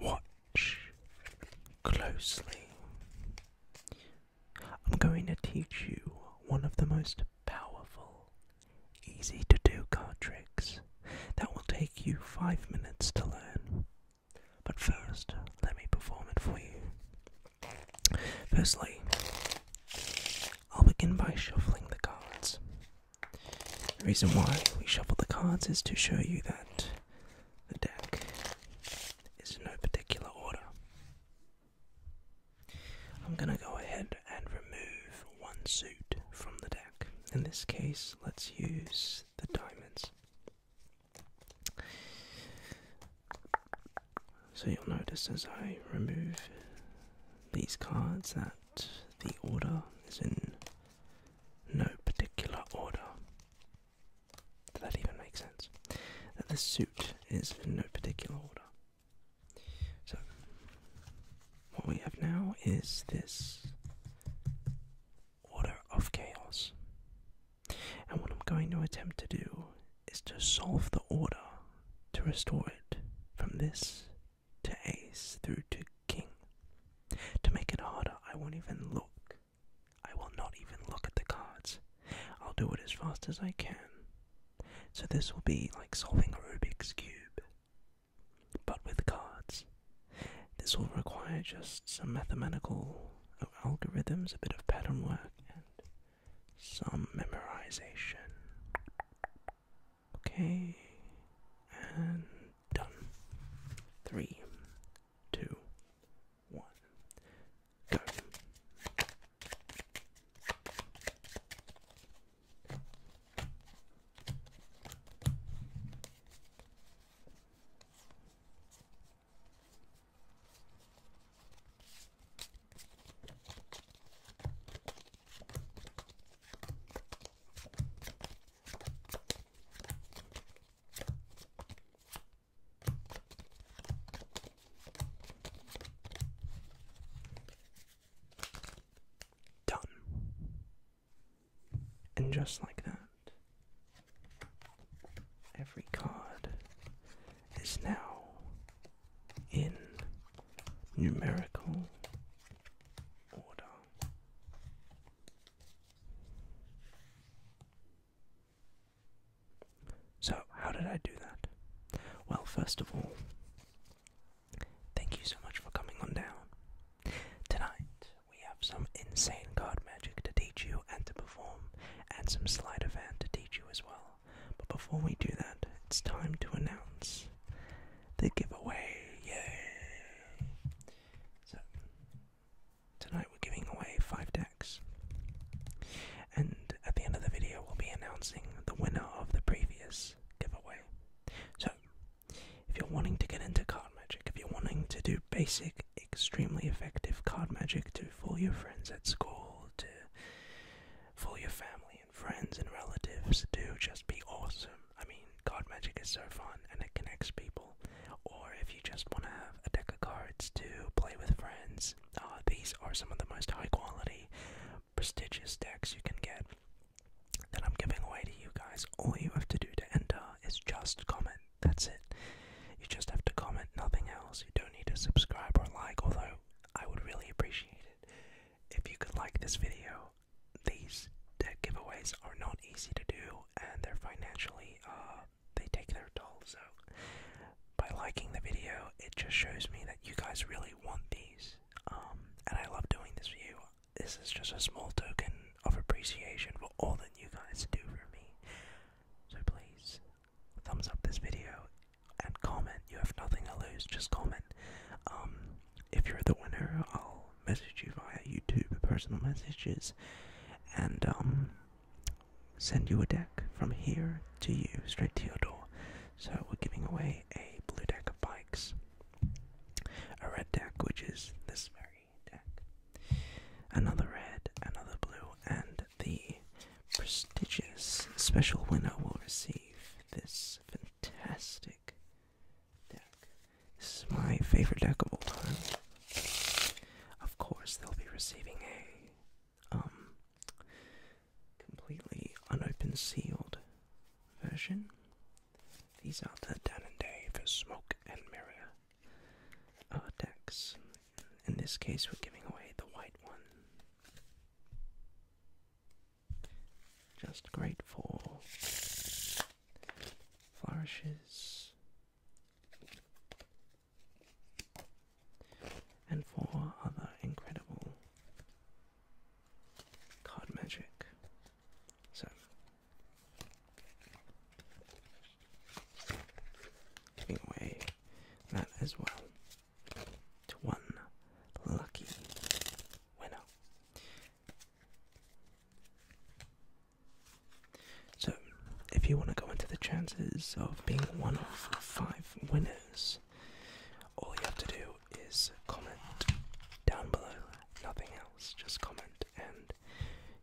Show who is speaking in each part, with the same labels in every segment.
Speaker 1: Watch closely. I'm going to teach you one of the most powerful, easy to do card tricks that will take you five minutes to learn. But first, let me perform it for you. Firstly, I'll begin by shuffling the cards. The reason why we shuffle the cards is to show you that the deck is in no particular order. I'm going to go ahead and remove one suit from the deck. In this case, let's use the diamonds. So you'll notice as I remove these cards that the order is in no particular order. Does that even make sense? That the suit is in no particular order. So, what we have now is this order of chaos. And what I'm going to attempt to do is to solve the order to restore it from this to ace through to king. To make it harder, I won't even look. I will not even look at the cards. I'll do it as fast as I can. So this will be like solving a Rubik's Cube, but with cards. This will require just some mathematical algorithms, a bit of pattern work, and some memorization. Okay, and done. Three, two, one, go. Done. And just like that, every card is now in numerical order. So, how did I do that? Well, first of all, thank you so much for coming on down. Tonight, we have some insane card magic to teach you and to perform, and some slide event to teach you as well. But before we do that, it's time to announce the giveaway. Yay! So, tonight we're giving away five decks. And at the end of the video, we'll be announcing the winner of the previous giveaway. So, if you're wanting to get into card magic, if you're wanting to do basic, extremely effective card magic to fool your friends at school, to fool your family, friends and relatives do just be awesome. I mean, card magic is so fun and it connects people. Or if you just want to have a deck of cards to play with friends, uh, these are some of the most high quality, prestigious decks you can get that I'm giving away to you guys. All you have to do to enter is just comment. That's it. You just have to comment, nothing else. You don't need to subscribe or like, although I would really appreciate it. If you could like this video, these deck giveaways are not easy to do and they're financially, uh, they take their toll. So, by liking the video, it just shows me that you guys really want these. Um, and I love doing this for you. This is just a small token of appreciation for all that you guys do for me. So, please, thumbs up this video and comment. You have nothing to lose, just comment. Um, if you're the winner, I'll message you via YouTube personal messages and um, send you a deck from here to you, straight to your door. So we're giving away a blue deck of bikes, a red deck, which is this very deck, another red, another blue, and the prestigious special winner will receive this fantastic deck. This is my favorite deck of all time. Of course, they'll be receiving a um completely unopened sealed version. These are the Dan and Dave Smoke and Mirror uh, decks. In this case, we're giving away the white one. Just great for Flourishes. And four other incredible card magic. So, giving away that as well to one lucky winner. So, if you want to go into the chances of being one of five winners, all you have to do is comment down below, nothing else, just comment, and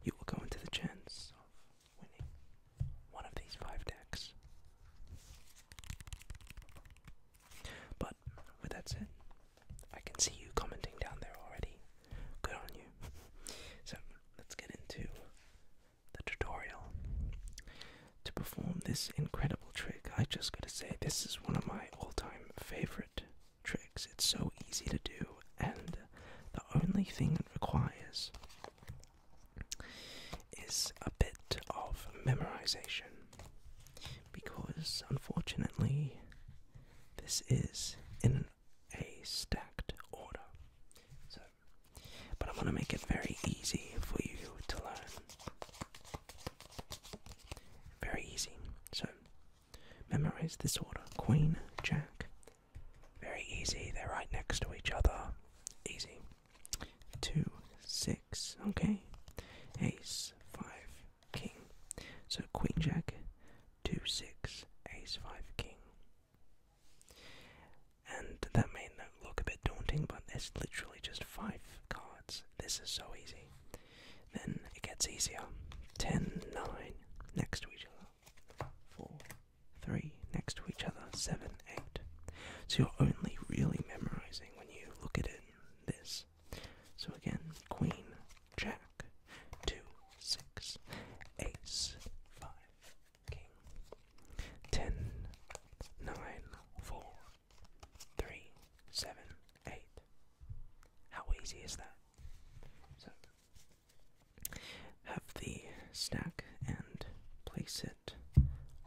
Speaker 1: you will go into the chance of winning one of these five decks. But with that said, I can see you commenting down there already. Good on you. So let's get into the tutorial. To perform this incredible trick, I just gotta say, this is one of my all time favorite tricks. It's so easy to do, and the only thing it requires is a bit of memorization because unfortunately this is in a stacked order. So but I'm going to make it very easy for you to learn. Very easy. So memorize this order. Queen, Jack. Very easy. They're right next to each other. Easy two, six. Okay, ace, five, king. So queen jack, two, six, ace, five, king. And that may look a bit daunting, but there's literally just five cards. This is so easy. Then it gets easier. 10, 9 next to each other. 4, 3 next to each other. 7, so you're only really memorizing when you look at it this. So again, queen, jack, 2, 6, ace, 5, king, 10, How easy is that? So, have the stack and place it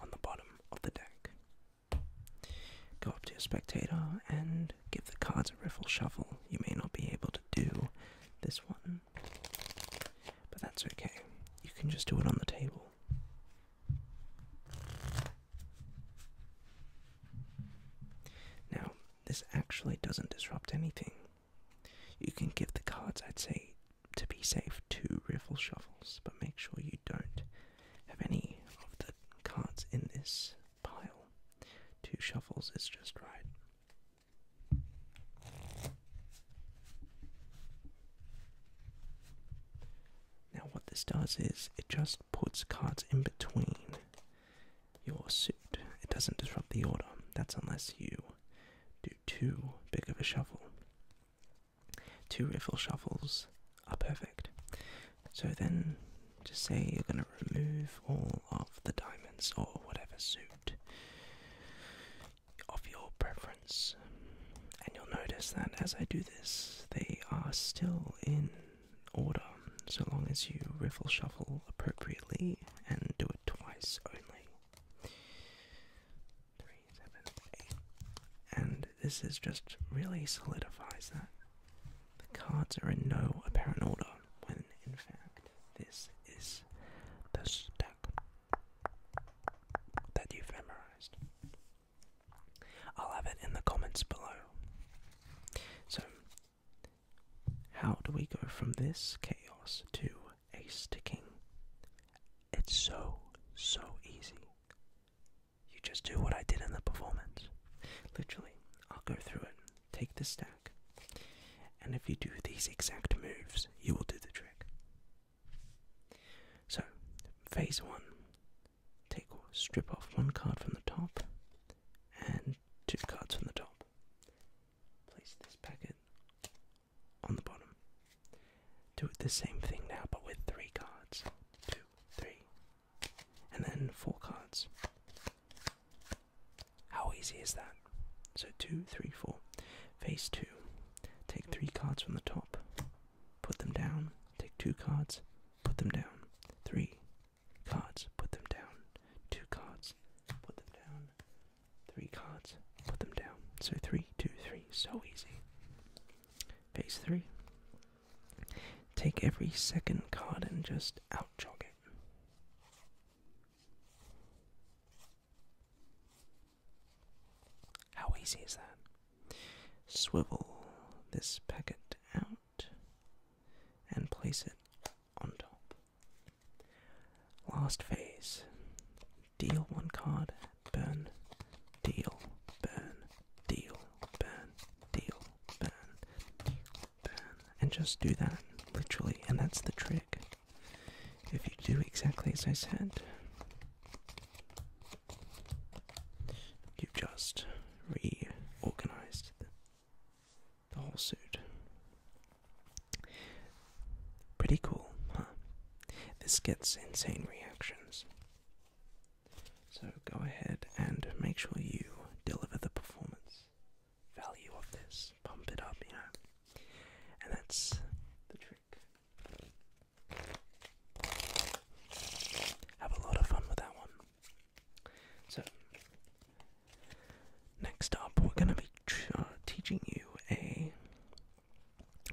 Speaker 1: on the bottom of the deck. Go up to your spectator and give the cards a riffle shuffle. You may not be able to do this one, but that's okay. You can just do it on the table. Now, this actually doesn't disrupt anything. You can give the cards, I'd say, to be safe, two riffle shuffles, but make sure you don't have any of the cards in this pile. Two shuffles is just right. Now, what this does is it just puts cards in between your suit. It doesn't disrupt the order. That's unless you do too big of a shuffle two riffle shuffles are perfect. So then just say you're going to remove all of the diamonds or whatever suit of your preference. And you'll notice that as I do this, they are still in order so long as you riffle shuffle appropriately and do it twice only three, seven, eight. And this is just really solidifies that. The cards are in no apparent order, when in fact, this is the stack that you've memorized. I'll have it in the comments below. So, how do we go from this chaos to a sticking? It's so, so easy. You just do what I did in the performance. Literally, I'll go through it, take the stack, and if you do these exact moves, you will do the trick. So, phase one take or strip off one card from the top and two cards from the top. Place this packet on the bottom. Do the same thing now, but with three cards. Two, three, and then four cards. How easy is that? So two, three, four. Phase two. Take three cards from the top, put them down. Take two cards, put them down. Three cards, put them down. Two cards, put them down. Three cards, put them down. So three, two, three. So easy. Phase 3 Take every second card and just out jog it. How easy is that? Swivel this packet out and place it on top. Last phase Deal one card, burn, deal, burn, deal, burn, deal, burn, deal, burn. And just do that, literally, and that's the trick. If you do exactly as I said, you've just reorganized the, the whole suit. Pretty cool, huh? This gets insane reactions. So go ahead and make sure you deliver the performance value of this. Pump it up, you know. And that's the trick. Have a lot of fun with that one. So, next up, we're going to be uh, teaching you a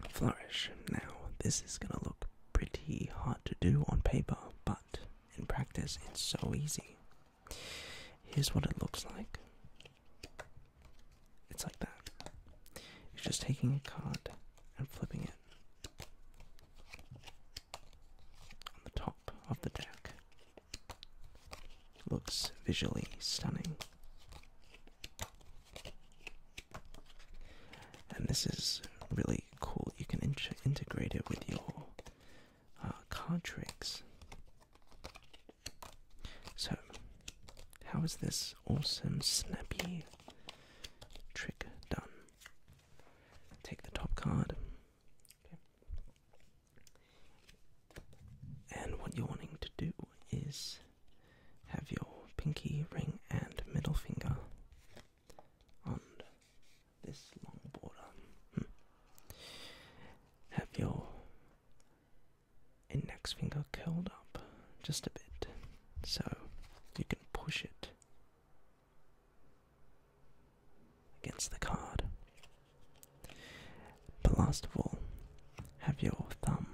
Speaker 1: flourish. Now, this is going to look pretty hard to do on paper, but in practice, it's so easy. Here's what it looks like it's like that. It's just taking a card and flipping it on the top of the deck. Looks visually stunning. And this is really cool. You can integrate it with your uh, card tricks. So, how is this awesome snappy trick done? Take the top card. And what you're wanting to do is have your pinky ring and middle finger on this long border. Hmm. Have your index finger curled up just a bit so you can push it against the card. But last of all, have your thumb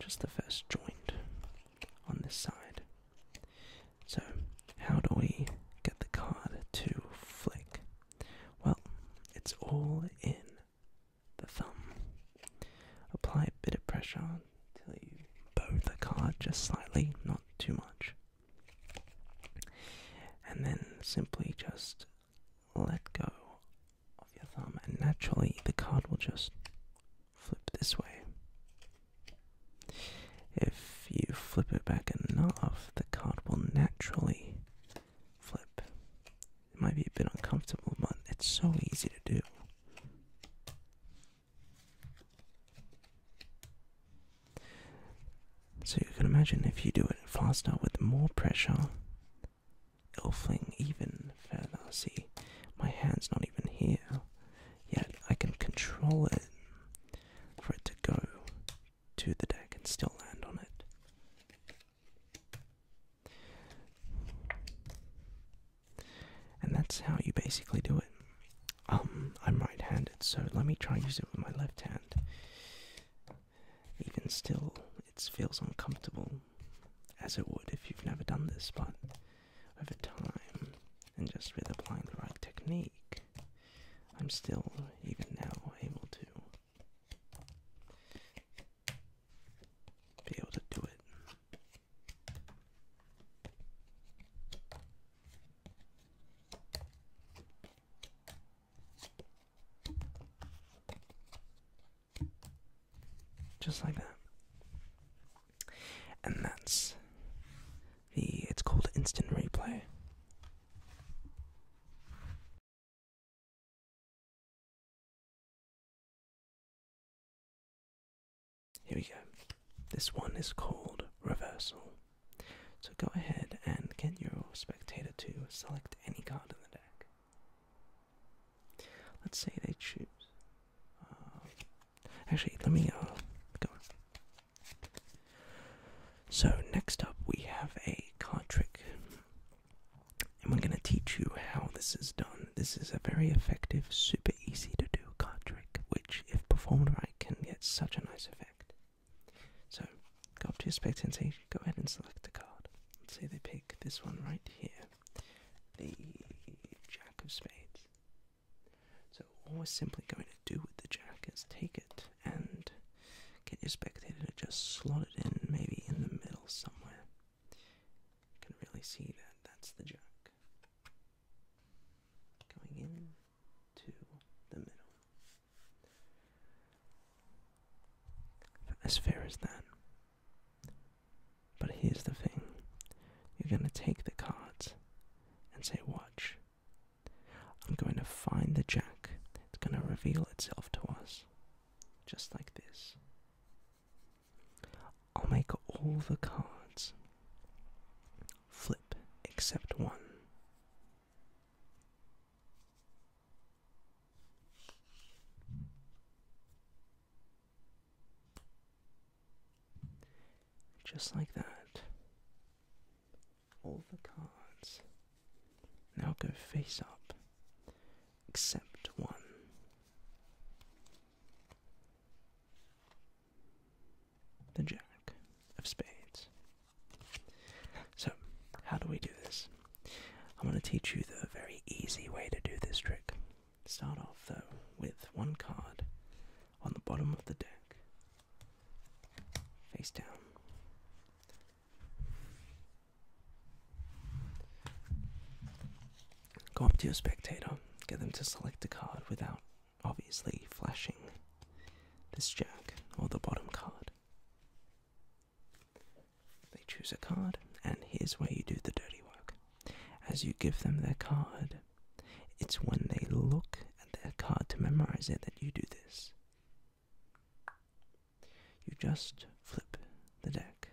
Speaker 1: just the first joint on this side. So, how do we get the card to flick? Well, it's all in the thumb. Apply a bit of pressure till you bow the card just slightly, not too much. And then simply just let go of your thumb, and naturally the card will just flip this way. If you flip it back enough, the card will naturally flip. It might be a bit uncomfortable, but it's so easy to do. So you can imagine if you do it faster with more pressure, Elfling, even Fantasy. My hand's not even here, yet I can control it for it to go to the deck and still land on it. And that's how you basically do it. Um, I'm right handed, so let me try and use it with my left hand. Even still, it feels uncomfortable, as it would if you've never done this, but over time and just with applying the right technique, I'm still even now able to be able to do it. Just like that. And that's the, it's called instant replay. Here we go. This one is called reversal. So go ahead and get your spectator to select any card in the deck. Let's say they choose. Um, actually, let me uh, go on. So, next up, we have a card trick. And we're going to teach you how this is done. This is a very effective, super easy to do card trick, which, if performed right, can get such a nice effect. So, go up to your spectator. go ahead and select a card. Let's say they pick this one right here the Jack of Spades. So all we're simply going to do with the Jack is take it and get your spectator to just slot it in, maybe in the middle somewhere. You can really see that that's the Jack. Going in to the middle. As fair as that. But here's the thing you're going to take the cards and say, Watch. I'm going to find the jack. It's going to reveal itself to us. Just like this. I'll make all the cards flip except one. Just like that, all the cards now go face up, except one. The Jack of Spades. So, how do we do this? I'm going to teach you the very easy way to do this trick. Start off though with one card on the bottom of the deck, face down. Go up to your spectator, get them to select a card without obviously flashing this jack or the bottom card. They choose a card, and here's where you do the dirty work as you give them their card. It's when they look at their card to memorize it that you do this. You just flip the deck.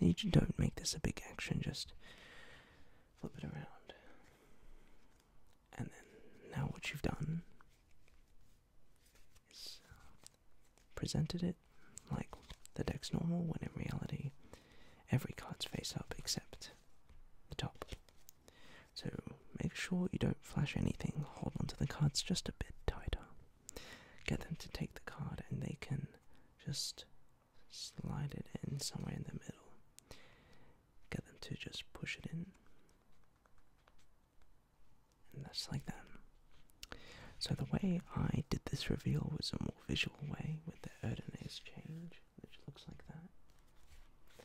Speaker 1: And you don't make this a big action, just flip it around. And then now what you've done is presented it like, the deck's normal when in reality, every card's face up except the top. So make sure you don't flash anything, hold onto the cards just a bit tighter. Get them to take the card and they can just slide it in somewhere in the middle. Get them to just push it in. And that's like that. So the way I did this reveal was in visual way with the Erdenase change, which looks like that.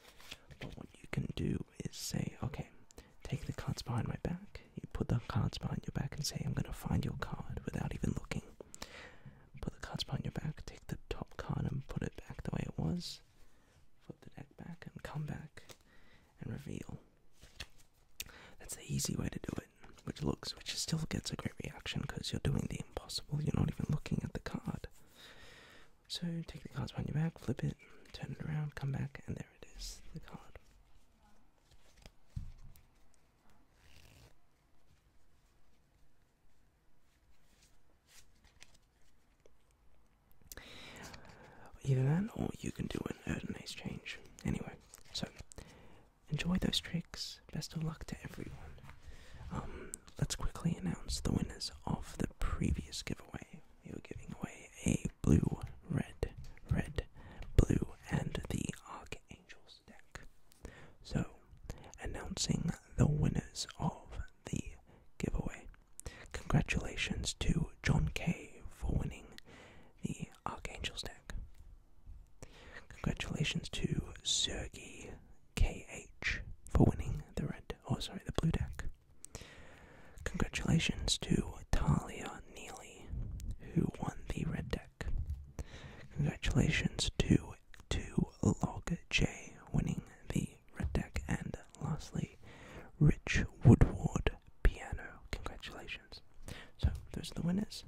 Speaker 1: But what you can do is say, okay, take the cards behind my back. You put the cards behind your back and say, I'm going to find your card without even looking. Put the cards behind your back, take the top card and put it back the way it was. Flip the deck back and come back and reveal. That's the easy way to do it." which looks, which still gets a great reaction because you're doing the impossible. You're not even looking at the card. So take the cards behind your back, flip it, turn it around, come back, and there it is, the card. Either that, or you can do an Erden Ace change. Anyway, so enjoy those tricks. Best of luck to everyone. Um, let's quickly announce the winners of the previous giveaway. We were giving away a blue, red, red, blue, and the Archangels deck. So, announcing the winners of the giveaway. Congratulations to John K for winning the Archangel's Neck. Congratulations to Sergey KH for winning the red, or oh, sorry, the blue deck. Congratulations to Talia Neely, who won the red deck. Congratulations to to Log J winning the red deck, and lastly, Rich Woodward Piano. Congratulations. So those are the winners.